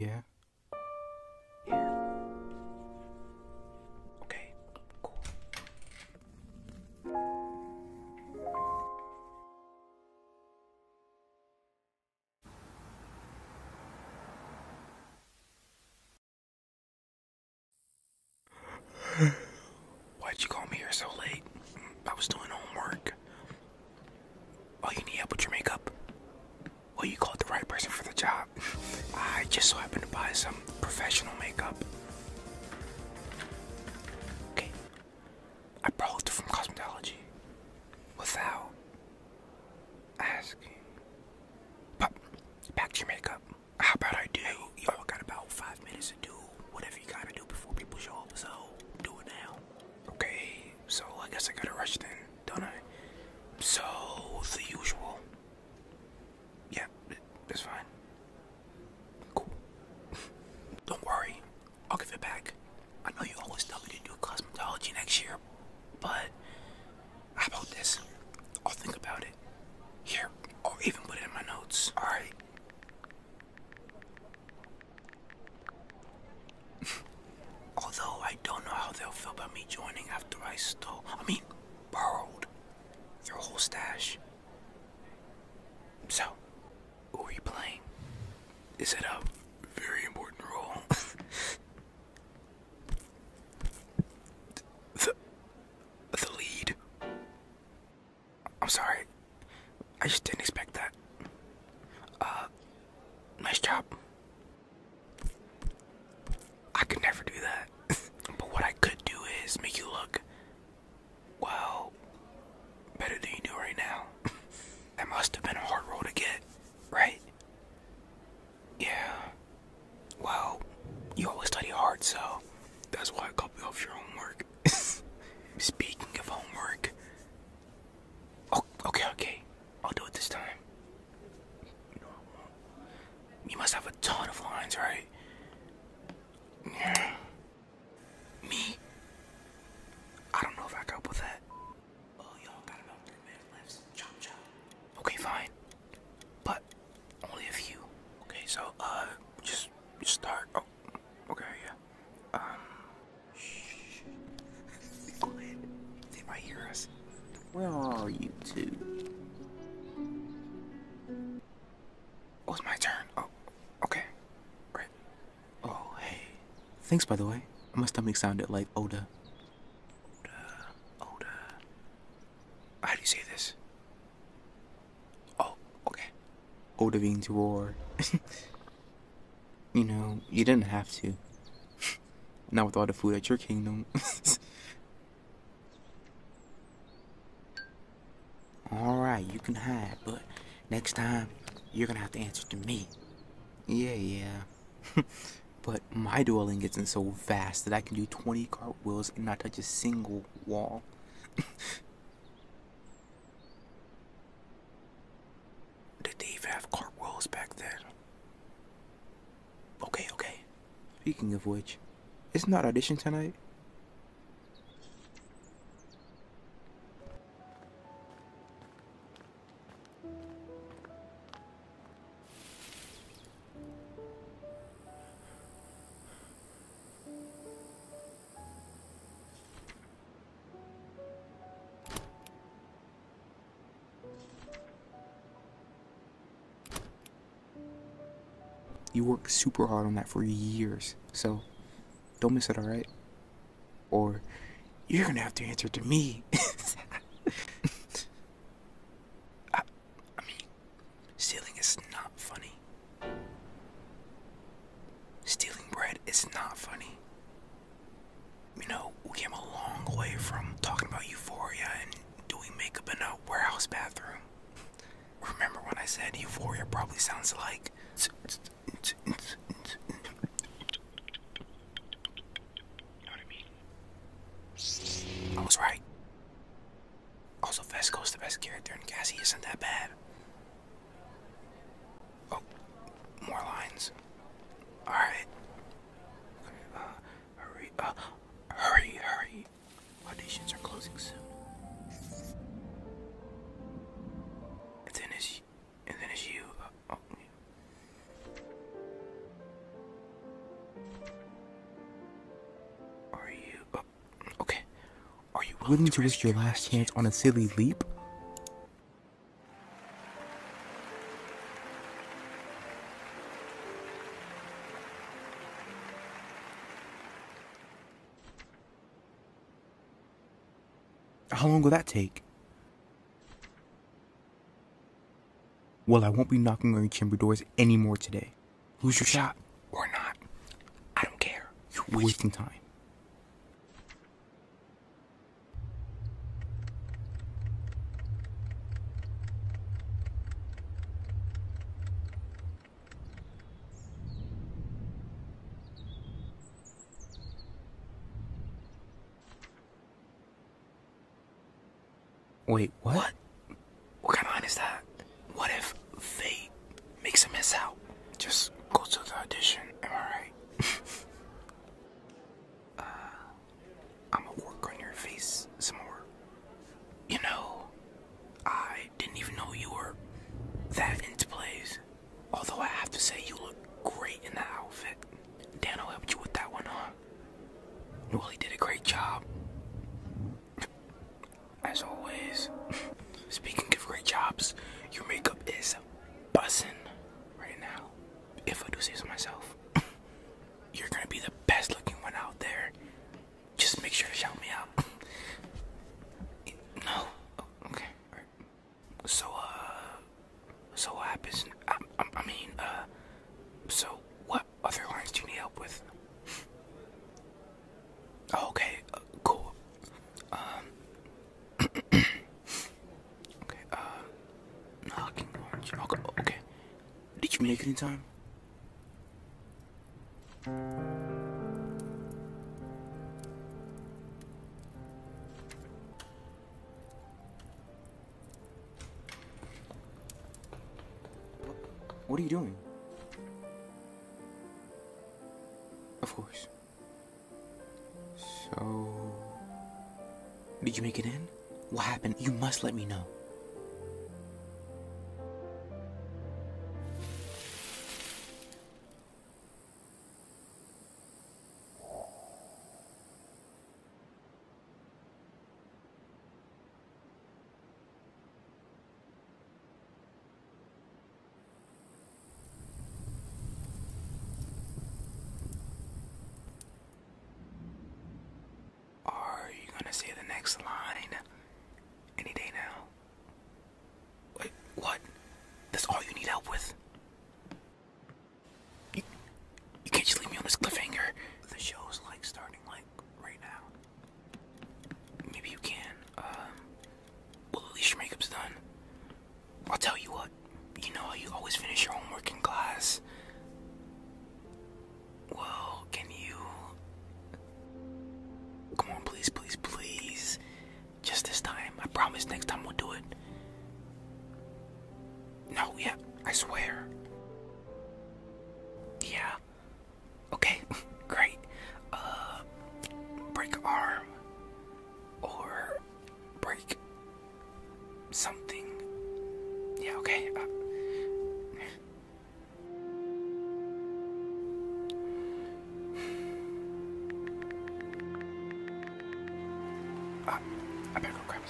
Yeah. Yeah. Okay, cool. Why'd you call me here so late? I was doing homework. Oh, you need help with your makeup? Well, you called the right person for the job. I just so happened to buy some professional makeup. Okay. I borrowed it from cosmetology without asking. But back your makeup. How about I do? You all got about five minutes to do whatever you gotta do before people show up, so do it now. Okay, so I guess I gotta rush then, don't I? So, the usual yeah, that's fine. Cool. Don't worry, I'll give it back. I know you always tell me to do cosmetology next year, but how about this? I'll think about it. Here, or even put it in my notes. Alright. Although I don't know how they'll feel about me joining after I stole, I mean, borrowed their whole stash. So, who are you playing? Is it a very important role? the, the lead? I'm sorry. I just didn't expect that. Uh, nice job. I could never do that. but what I could do is make you look well, better than you do right now. that must have been a hard roll to get, right? Yeah. Well, you always study hard, so that's why I copy off your homework. Speaking of homework. Oh, okay, okay. I'll do it this time. You must have a ton of lines, right? Me? I don't know if I can with that. Oh, y'all got about three minutes left. Chop, chop. Okay, fine. But only a few. Okay, so, uh, just, just start. Oh, okay, yeah. Um, shh. Be quiet. They might hear us. Where are you two? Oh, it was my turn. Oh, okay. Oh, hey. Thanks, by the way. My stomach sounded like Oda. Oda. Oda. How do you say this? Oh, okay. Oda being means roar. you know, you didn't have to. Not with all the food at your kingdom. Alright, you can hide, but next time, you're gonna have to answer to me. Yeah, yeah. but my dwelling gets in so fast that I can do 20 cartwheels and not touch a single wall. Did they even have cartwheels back then? Okay, okay. Speaking of which, it's not audition tonight. You worked super hard on that for years, so don't miss it, alright? Or you're gonna have to answer to me. I mean, stealing is not funny. Stealing bread is not funny. You know, we came a long way from talking about euphoria and doing makeup in a warehouse bathroom. Remember when I said euphoria probably sounds like. You know what I mean? I was right. Also, Vesco's the best character, and Cassie isn't that bad. Oh, more lines. Alright. Uh, hurry, uh, hurry, hurry, auditions are closing soon. And then it's, and then it's you. Uh, oh. Are you oh, okay? Are you willing to risk your last chance on a silly leap? How long will that take? Well, I won't be knocking on your chamber doors anymore today. Lose your shot or not. I don't care. You're wasting time. Wait, what? what? kind of line is that? What if fate makes a miss out? Just go to the audition, am I right? Uh, I'ma work on your face some more. You know, I didn't even know you were that into plays. Although I have to say you look great in that outfit. Daniel helped you with that one, huh? Well, did a great job. As always. Speaking of great jobs, your makeup is bussin' right now. If I do say so myself. you're gonna be the best looking one out there. Just make sure to shout me out. no. Oh, okay. So uh, so what happens? I, I, mean uh, so what other lines do you need help with? okay. Oh, cool. okay. Uh. Um, uh okay. Okay. Did you make it in time? What are you doing? Of course. So... Did you make it in? What happened? You must let me know. Are you gonna see the next line any day now? Wait, what? That's all you need help with? You, you can't just leave me on this cliffhanger. The show's like starting like right now. Maybe you can. Um, well, at least your makeup's done. I'll tell you what. You know how you always finish your homework in class. Well, can you? Come on, please, please, please. Just this time. I promise next time we'll do it. No, yeah, I swear. Yeah. Okay, great. Uh, break arm or break something. Yeah, okay. Uh, uh, I better go grab a